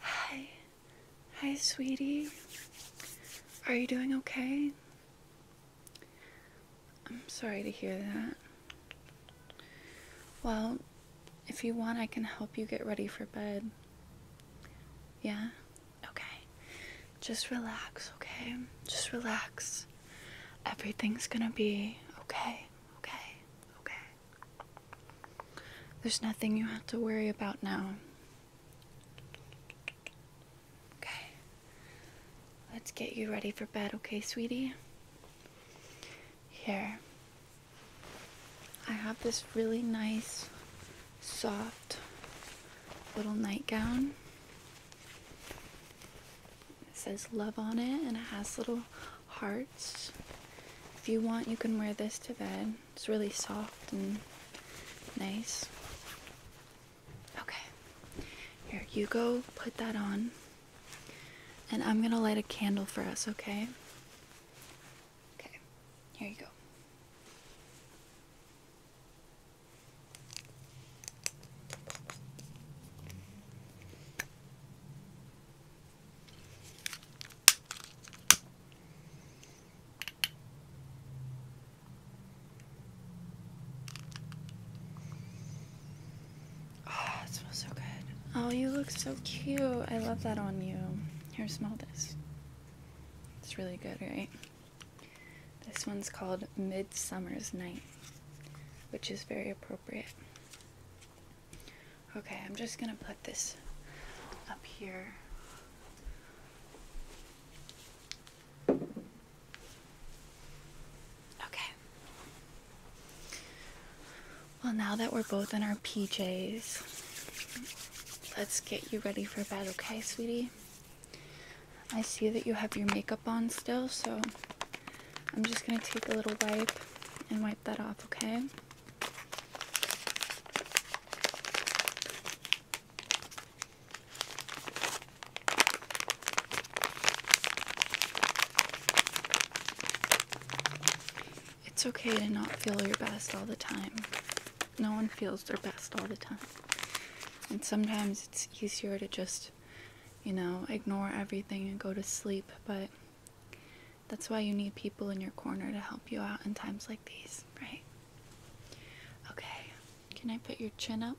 Hi. Hi, sweetie. Are you doing okay? I'm sorry to hear that. Well, if you want, I can help you get ready for bed. Yeah? Okay. Just relax, okay? Just relax. Everything's gonna be okay, okay, okay. There's nothing you have to worry about now. Okay. Let's get you ready for bed, okay, sweetie? Here. I have this really nice, soft little nightgown. It says love on it and it has little hearts. If you want, you can wear this to bed. It's really soft and nice. Okay. Here, you go put that on. And I'm going to light a candle for us, okay? Okay. Here you go. Oh, it smells so good. Oh, you look so cute. I love that on you. Here, smell this. It's really good, right? This one's called Midsummer's Night, which is very appropriate. Okay, I'm just gonna put this up here. Okay. Well, now that we're both in our PJs, let's get you ready for bed, okay, sweetie? I see that you have your makeup on still, so I'm just gonna take a little wipe and wipe that off, okay? It's okay to not feel your best all the time. No one feels their best all the time. And sometimes it's easier to just, you know, ignore everything and go to sleep, but that's why you need people in your corner to help you out in times like these, right? Okay, can I put your chin up?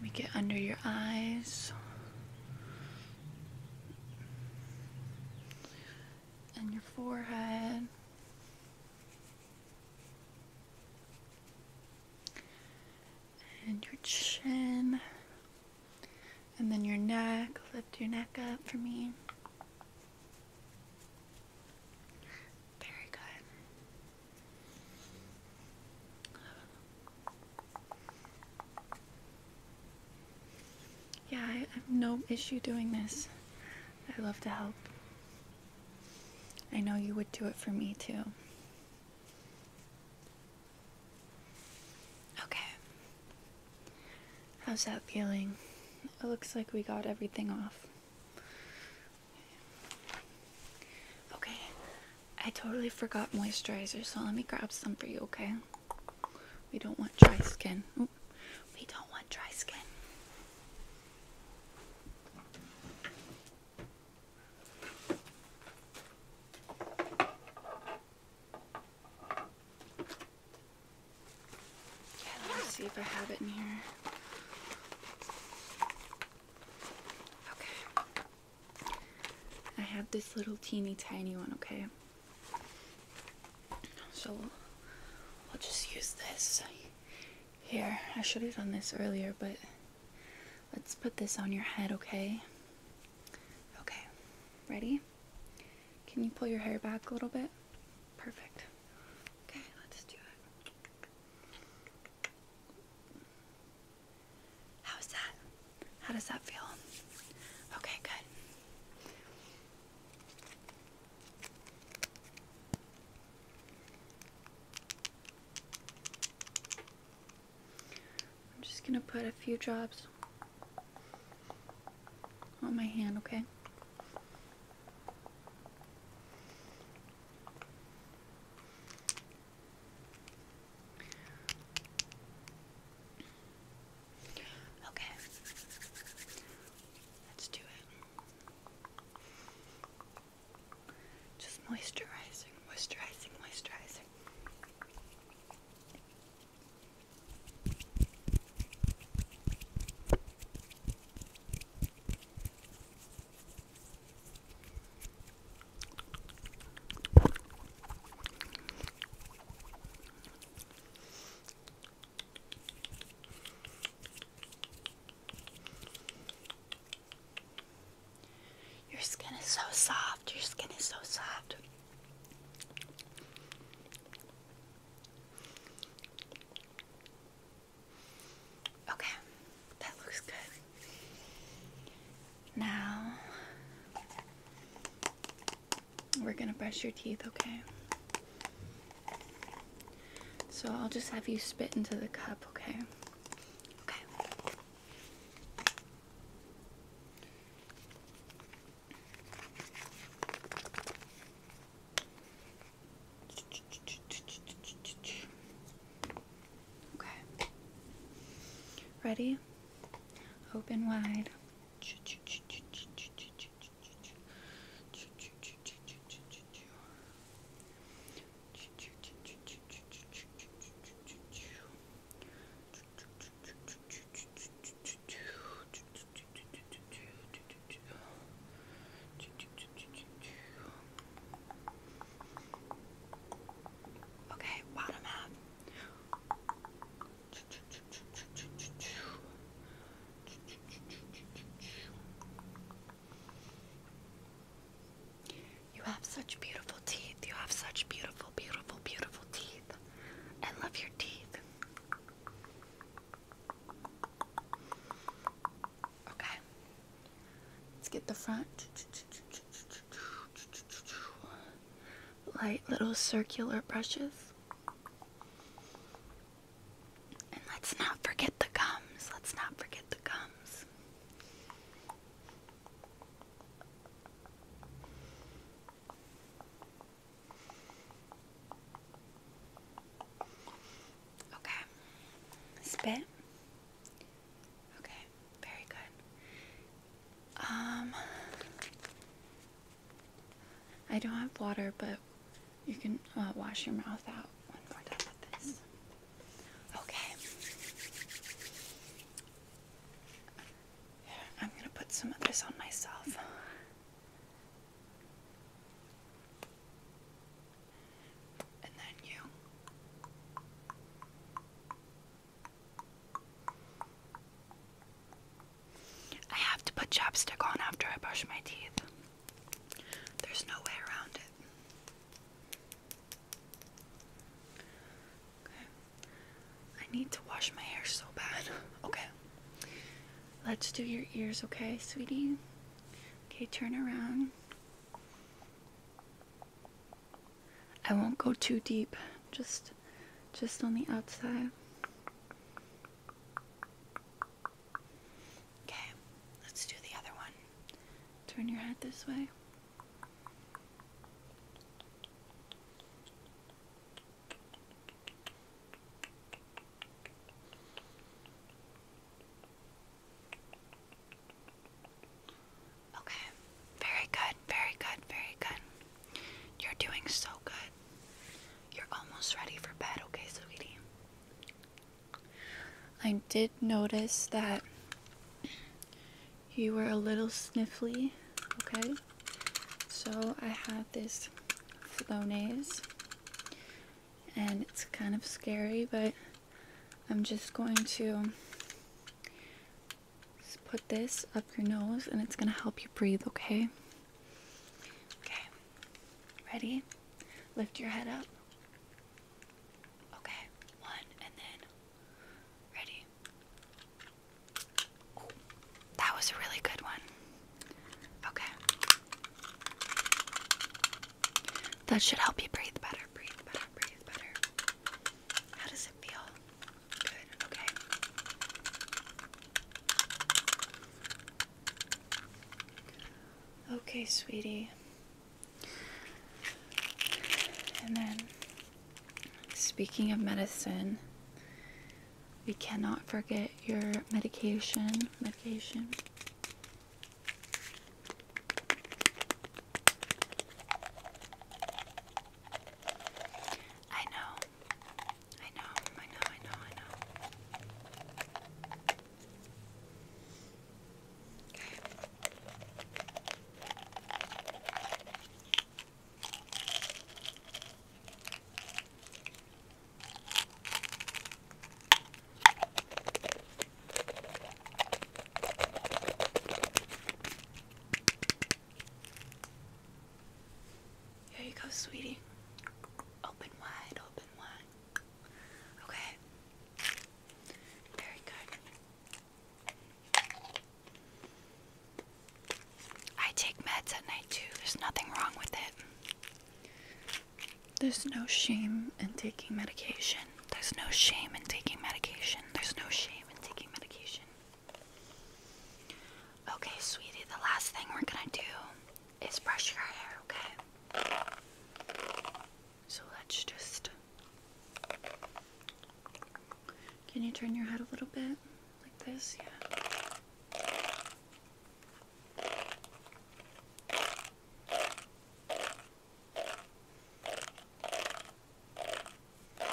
Make it under your eyes and your forehead. And your chin. And then your neck. Lift your neck up for me. Very good. Yeah, I have no issue doing this. I love to help. I know you would do it for me too. Okay. How's that feeling? It looks like we got everything off. Okay. I totally forgot moisturizer, so let me grab some for you, okay? We don't want dry skin. we don't want dry skin. let me see if I have it in here. Okay. I have this little teeny tiny one, okay? So we will just use this here. I should have done this earlier, but let's put this on your head, okay? Okay, ready? Can you pull your hair back a little bit? Perfect. Okay, let's do it. How's that? How does that feel? Okay, good. I'm just going to put a few drops on my hand, okay? Okay. Let's do it. Just moisturizing, moisturizing, moisturizing. Your skin is so soft. Your skin is so soft. Okay, that looks good. Now we're gonna brush your teeth, okay? So I'll just have you spit into the cup, okay? Okay. Okay. Ready? Open wide. Okay, bottom half. You have such beautiful teeth. You have such beautiful, beautiful, beautiful teeth. I love your teeth. Okay. Let's get the front. Light little circular brushes. And let's not forget the gums. Let's not forget the gums. Okay. Spit. Okay, very good. Um I don't have water, but you can uh, wash your mouth out Okay. I'm gonna put some of this on myself. And then you. I have to put chapstick on after I brush my teeth. There's no way around it. Okay. I need to wash my hair so bad. Okay. Let's do your ears, okay, sweetie? Okay, turn around. I won't go too deep. Just just on the outside. Okay, let's do the other one. Turn your head this way. Okay, very good, very good, very good. You're doing so good. You're almost ready for bed, okay, sweetie? I did notice that you were a little sniffly, okay? So I have this Flonase, and it's kind of scary, but I'm just going to just put this up your nose and it's going to help you breathe, okay? Okay. Ready? Lift your head up. Okay. One and then. Ready? that was a really good one. Okay. That should help you breathe better, breathe better, breathe better. How does it feel? okay. Okay, sweetie. And then, speaking of medicine, we cannot forget your medication. Medication. I know I know, I know, I know, I know. Okay. Here you go, sweetie. Open wide, open wide. Okay. Very good. I take meds at night too. There's nothing wrong with it. There's no shame in taking medication. There's no shame in taking medication. There's no shame in taking medication. Okay, sweetie, the last thing we're gonna do is brush your hair, okay? So let's just. Can you turn your head a little bit? Like this? Yeah. Okay.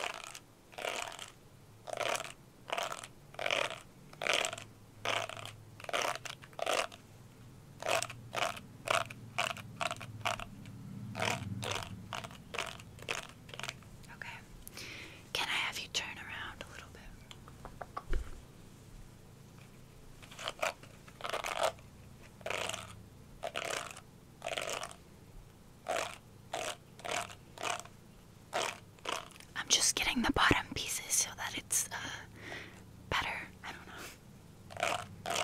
Can I have you turn around a little bit? I'm just getting the bottom pieces so that it's uh, better. I don't know. Okay.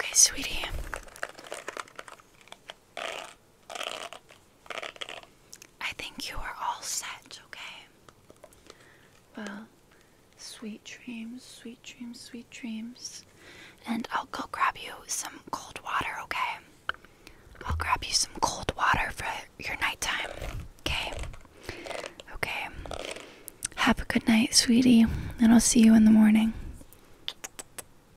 Okay, sweetie. I think you are all set, okay? Well, sweet dreams, sweet dreams, sweet dreams. And I'll go grab you some cold water, okay? I'll grab you some cold water for your nighttime, okay? Okay. Have a good night, sweetie, and I'll see you in the morning.